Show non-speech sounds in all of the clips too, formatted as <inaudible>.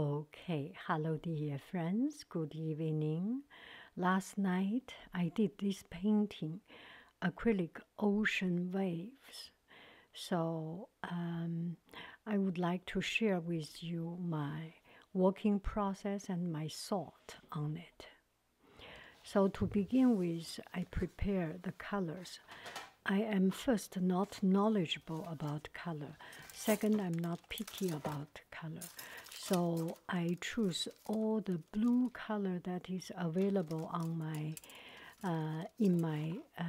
Okay, hello dear friends, good evening. Last night I did this painting, acrylic ocean waves. So um, I would like to share with you my working process and my thought on it. So to begin with, I prepare the colors. I am first not knowledgeable about color. Second, I'm not picky about color. So I choose all the blue color that is available on my uh, in my uh,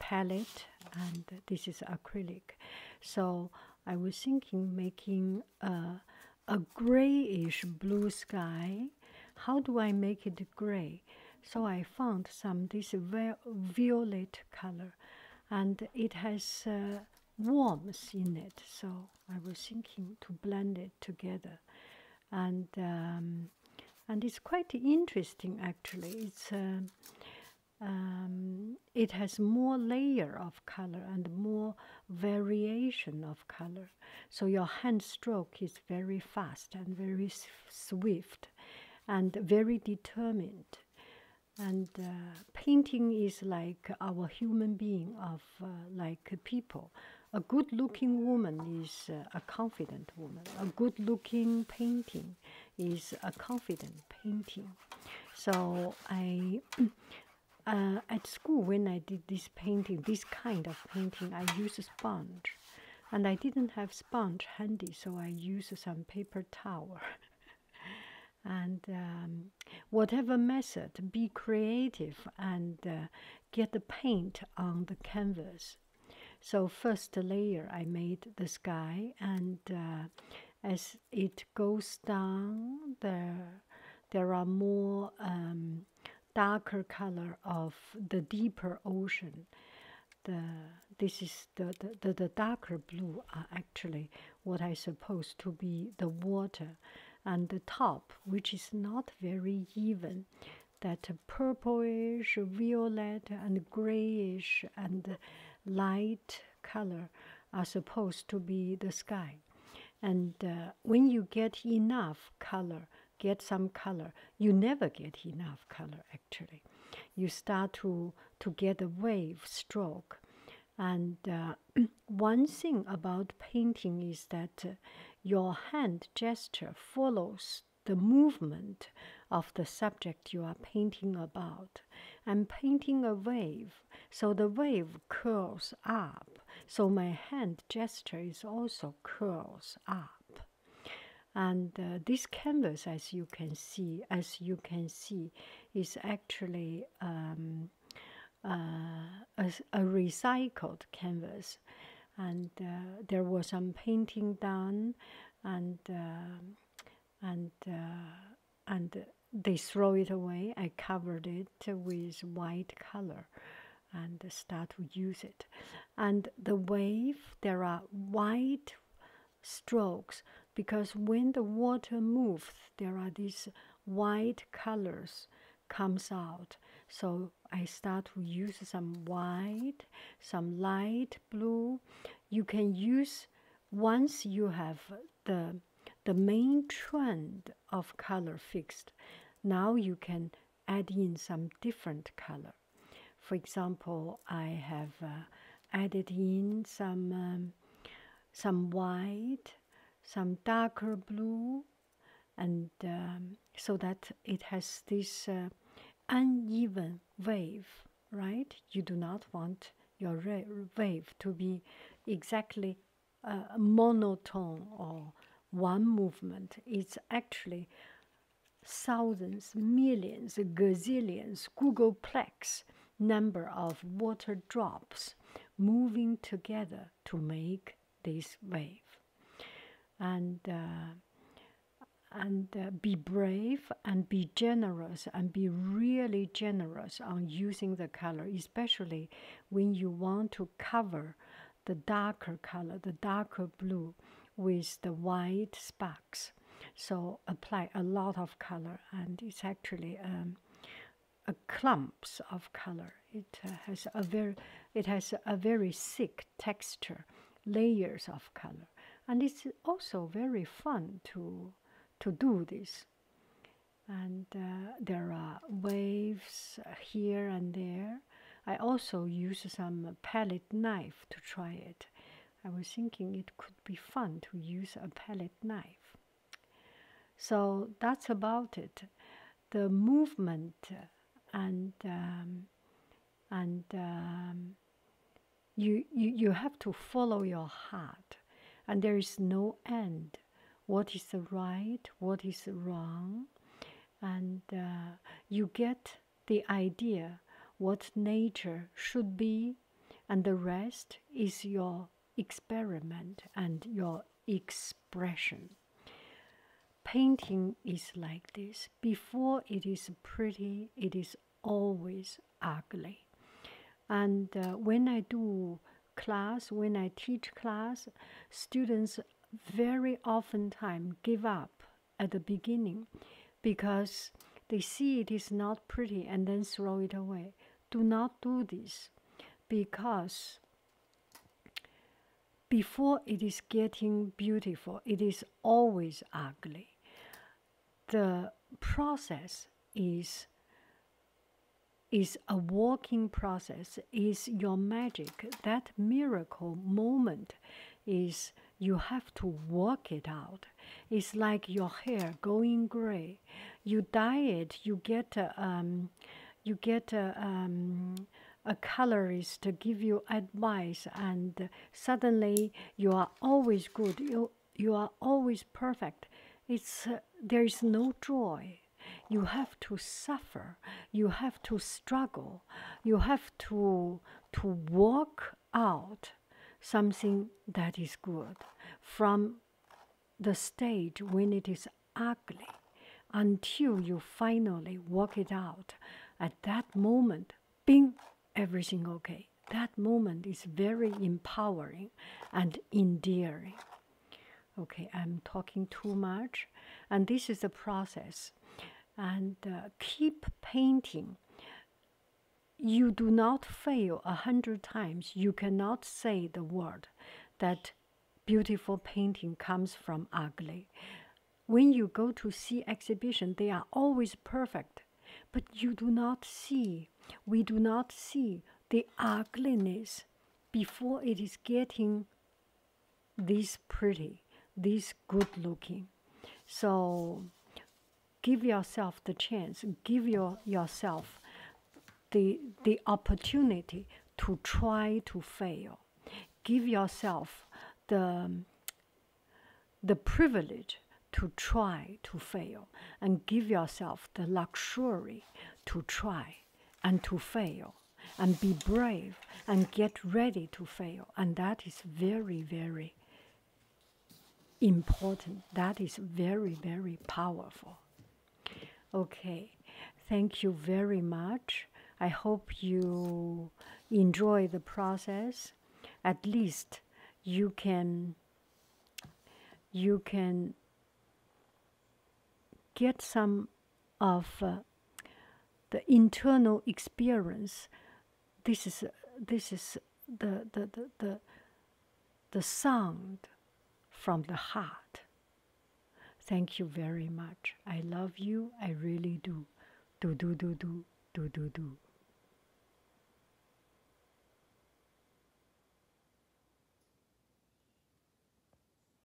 palette, and this is acrylic. So I was thinking making a grayish blue sky. How do I make it gray? So I found some this violet color, and it has uh, in it. So I was thinking to blend it together, and um, and it's quite interesting actually. It's um, um, it has more layer of color and more variation of color. So your hand stroke is very fast and very swift, and very determined. And uh, painting is like our human being of uh, like people. A good-looking woman is uh, a confident woman. A good-looking painting is a confident painting. So I, <clears throat> at school when I did this painting, this kind of painting, I use a sponge and I didn't have sponge handy, so I used some paper towel. <laughs> and um, whatever method, be creative and uh, get the paint on the canvas. So first layer, I made the sky, and uh, as it goes down, there there are more um, darker color of the deeper ocean the this is the, the, the, darker blue are actually what I suppose to be the water and the top which is not very even that purplish violet and grayish and light color are supposed to be the sky and uh, when you get enough color get some color. You never get enough color actually. You start to to get a wave stroke, and uh, <clears throat> one thing about painting is that uh, your hand gesture follows the movement of the subject you are painting about. I'm painting a wave, so the wave curls up, so my hand gesture is also curls up and uh, this canvas as you can see as you can see is actually um, uh, a, recycled canvas and uh, there was some painting done and and and they throw it away i covered it with white color and start to use it. And the wave, there are white strokes because when the water moves, there are these white colors comes out. So I start to use some white, some light blue. You can use once you have the the main trend of color fixed. Now you can add in some different color. For example, I have uh, added in some um, some white, some darker blue, and um, so that it has this uh, uneven wave. Right? You do not want your wave to be exactly uh, monotone or one movement. is actually thousands, millions, gazillions, Googleplex number of water drops moving together to make this wave. And uh, and uh, be brave and be generous and be really generous on using the color, especially when you want to cover the darker color, the darker blue with the white sparks. So apply a lot of color, and it's actually um, a clumps of color. It uh, has a very, it has a very thick texture, layers of color, and it's also very fun to to do this. And uh, there are waves here and there, I also used some palette knife to try it. I was thinking it could be fun to use a palette knife. So that's about it. The movement and um, and um, you, you you have to follow your heart, and there is no end. What is right? What is wrong? And uh, you get the idea what nature should be, and the rest is your experiment and your expression. Painting is like this before it is pretty, it is always ugly. And uh, when I do class, when I teach class, students very oftentimes give up at the beginning because they see it is not pretty and then throw it away. Do not do this because before it is getting beautiful, it is always ugly. The process is is a walking process is your magic that miracle moment is you have to work it out. It's like your hair going gray. You dye it, you get a, um, you get a, um, a colorist to give you advice, and suddenly you are always good. You you are always perfect. It's uh, there is no joy. You have to suffer. You have to struggle you have to to work out something that is good from the stage when it is ugly until you finally work it out at that moment bing everything okay that moment is very empowering and endearing okay i'm talking too much and this is a process and uh, keep painting. You do not fail a hundred times. You cannot say the word that beautiful painting comes from ugly. When you go to see exhibition, they are always perfect, but you do not see. We do not see the ugliness before it is getting these pretty, these good looking. So give yourself the chance, give your, yourself the, the opportunity to try to fail. Give yourself the, the privilege to try to fail and give yourself the luxury to try and to fail and be brave and get ready to fail. And that is very, very important. That is very, very powerful. Okay, thank you very much. I hope you enjoy the process. At least you can you can get some of uh, the internal experience this is this is the the, the the the sound from the heart thank you very much i love you i really do do do do do do do do